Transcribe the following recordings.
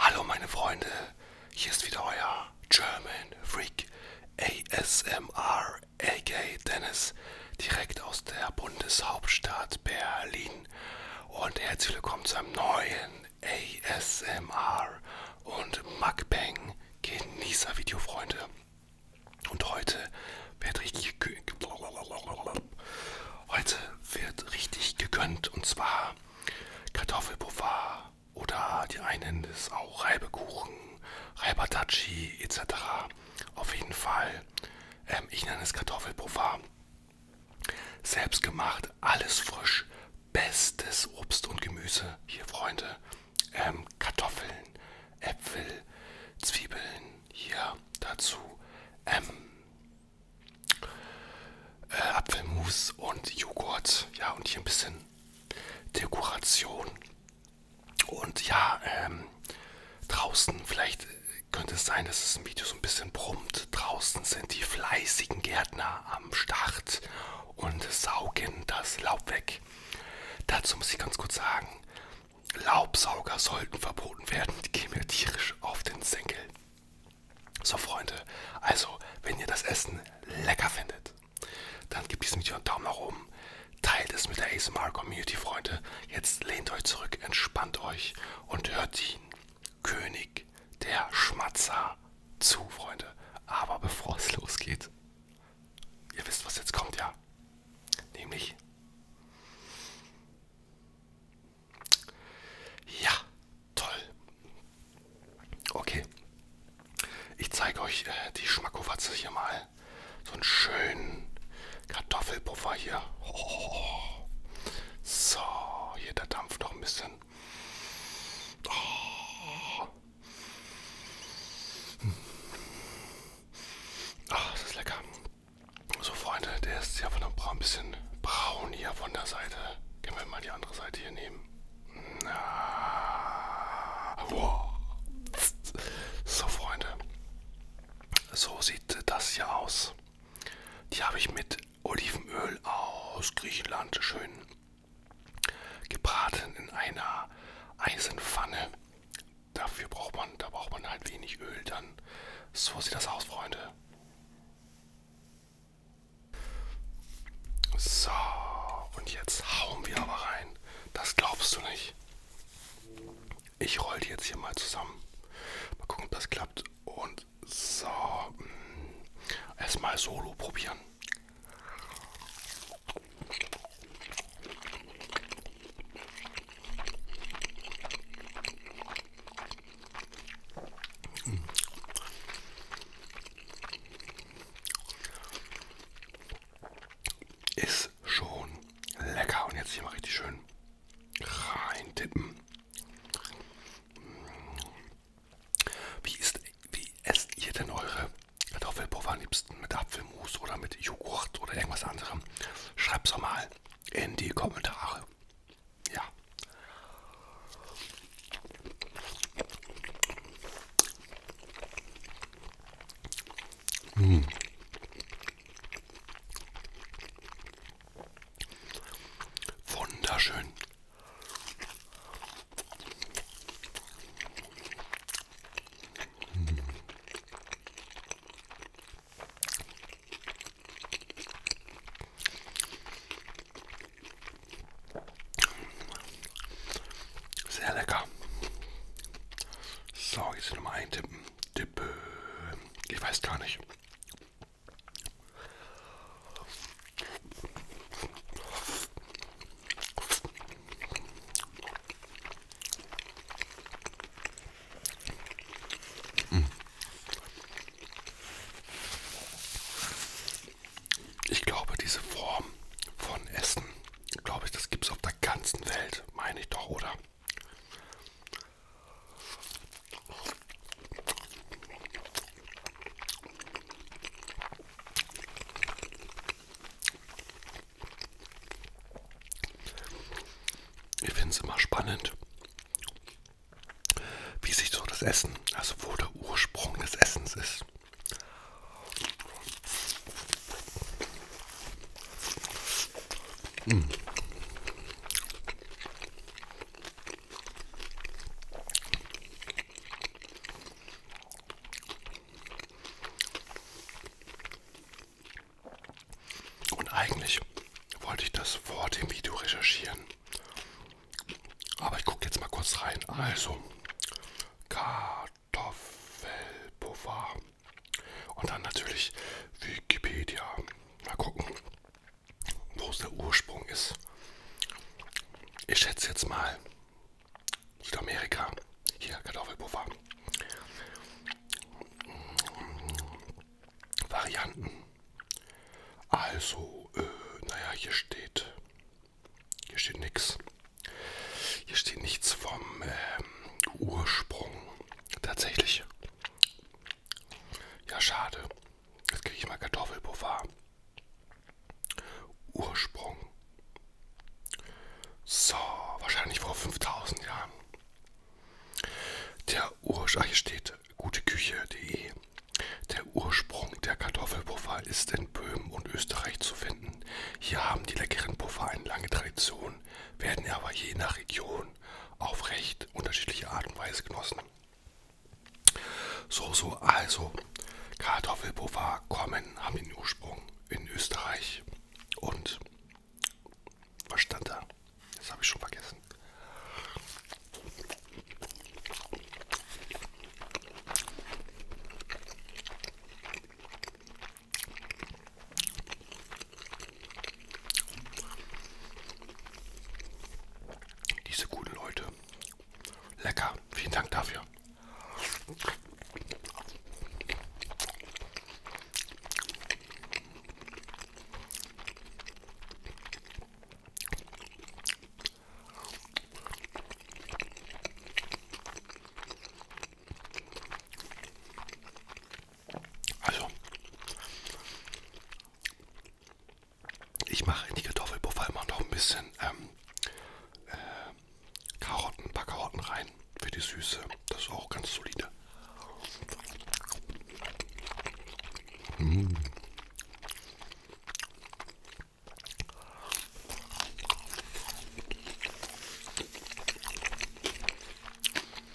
Hallo meine Freunde, hier ist wieder euer German Freak ASMR, aka Dennis, direkt aus der Bundeshauptstadt Berlin und herzlich willkommen zu einem neuen ASMR und Mukbang Genießer Video, Freunde. Und heute wird richtig heute wird richtig gegönnt und zwar Kartoffelpuffer oder die einen ist auch Reibekuchen, Reibatachi etc. Auf jeden Fall, ähm, ich nenne es Kartoffelpuffer selbst gemacht, alles frisch, bestes Obst und Gemüse. Hier, Freunde, ähm, Kartoffeln, Äpfel, Zwiebeln, hier dazu, ähm, äh, Apfelmus und Joghurt. Ja, und hier ein bisschen Dekoration. Und ja, ähm, draußen vielleicht könnte es sein, dass es im Video so ein bisschen brummt. Draußen sind die fleißigen Gärtner am Start und saugen das Laub weg. Dazu muss ich ganz kurz sagen, Laubsauger sollten verboten werden. Die gehen mir tierisch auf den Senkel. So Freunde, also wenn ihr das Essen lecker findet, dann gebt diesem Video einen Daumen nach oben. Teilt es mit der ASMR Community, Freunde. Jetzt lehnt euch zurück, entspannt euch und hört ihn. König der Schmatzer zu, Freunde. Aber bevor es losgeht, ihr wisst, was jetzt kommt, ja? Nämlich. Ja, toll. Okay. Ich zeige euch äh, die Schmackofatze hier mal. So einen schönen Kartoffelpuffer hier. Oh. So, hier der Dampf noch ein bisschen. Oh. Hm. Ach, das ist lecker. So, Freunde, der ist ja von der Braun ein bisschen braun hier von der Seite. Können wir mal die andere Seite hier nehmen. Na. Wow. So, Freunde. So sieht das hier aus. Die habe ich mit Olivenöl aus Griechenland schön gebraten in einer Eisenpfanne. Dafür braucht man, da braucht man halt wenig Öl dann. So sieht das aus, Freunde. So, und jetzt hauen wir aber rein. Das glaubst du nicht. Ich roll die jetzt hier mal zusammen. Mal gucken, ob das klappt. Und so. Mm, erstmal solo probieren. Ist schon lecker. Und jetzt hier mal richtig schön reintippen. Wie, ist, wie esst ihr denn eure Kartoffelpuffer am liebsten? Mit Apfelmus oder mit Joghurt oder irgendwas anderem? Schreibt's doch mal in die Kommentare. Ja. Mmh. Wunderschön. Hm. Sehr lecker. So, jetzt nochmal eintippen. Dippe. Ich weiß gar nicht. Ich glaube, diese Form von Essen, glaube ich, das gibt es auf der ganzen Welt, meine ich doch, oder? Ich finde es immer spannend, wie sich so das Essen, also wo der Ursprung des Essens ist. Mm. Und eigentlich wollte ich das vor dem Video recherchieren. Aber ich gucke jetzt mal kurz rein. Also, Kartoffelpuffer. Und dann natürlich Wikipedia. Mal gucken, wo es der Ursprung ist. Ich schätze jetzt mal Südamerika. Hier, Kartoffelpuffer. Mm, Varianten. Also, äh, naja, hier steht, hier steht nichts. Hier steht nichts vom ähm, Ursprung tatsächlich. Ja, schade. Jetzt kriege ich mal Kartoffelpuffer. Ursprung. So, wahrscheinlich vor 5000 Jahren. Der Ursprung, hier steht guteküche.de. Der Ursprung der Kartoffelpuffer ist in Böhmen und Österreich zu finden. Hier haben die leckeren Puffer eine lange Tradition, werden aber je nach Region auf recht unterschiedliche Art und Weise genossen. So, so, also Kartoffelpuffer kommen, haben den Ursprung in Österreich. Und was stand da? Das habe ich schon vergessen. Diese guten Leute. Lecker. Vielen Dank dafür. Also, ich mache in die Kartoffelpuffer immer noch ein bisschen ähm, äh, Karotten, ein paar Karotten rein für die Süße. Das ist auch ganz solide. Mmh.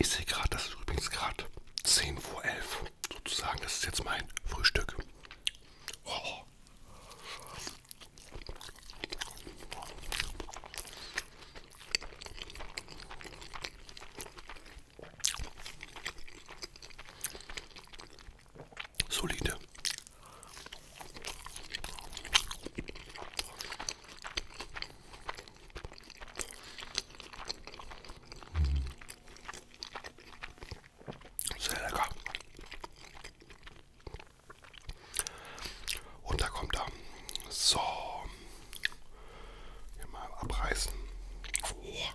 Ich sehe gerade, das ist übrigens gerade 10 vor 11 sozusagen, das ist jetzt mein Frühstück. Oh. Solide. Mm. Sehr lecker. Und da kommt er. So. Hier mal abreißen. Oh.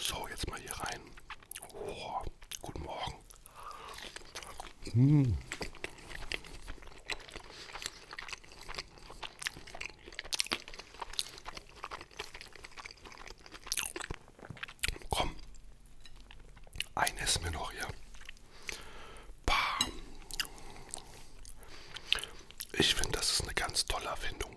So, jetzt mal hier rein. Oh, guten Morgen. Mmh. Komm, ein essen wir noch hier. Bam. Ich finde, das ist eine ganz tolle Erfindung.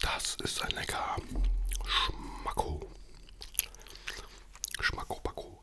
Das ist ein lecker Schmacko. Schmacko, Backo.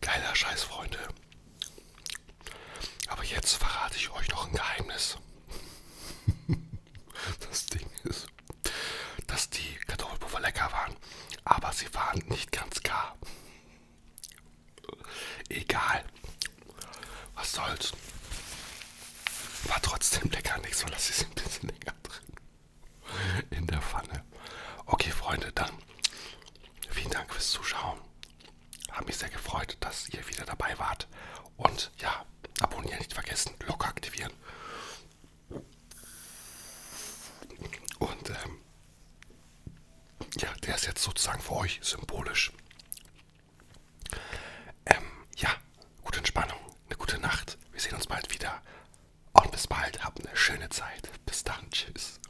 Geiler Scheiß, Freunde. Aber jetzt verrate ich euch noch ein Geheimnis. Das Ding ist, dass die Kartoffelpuffer lecker waren, aber sie waren nicht ganz gar. Egal. Was soll's. War trotzdem lecker, nichts, so lasse ich es ein bisschen länger drin in der Pfanne. Okay, Freunde, dann vielen Dank fürs Zuschauen. Hat mich sehr gefreut, dass ihr wieder dabei wart. Und ja, abonnieren nicht vergessen, Glocke aktivieren. Und ähm, ja, der ist jetzt sozusagen für euch symbolisch. Ähm, ja, gute Entspannung, eine gute Nacht. Wir sehen uns bald wieder. Und bis bald, habt eine schöne Zeit. Bis dann, tschüss.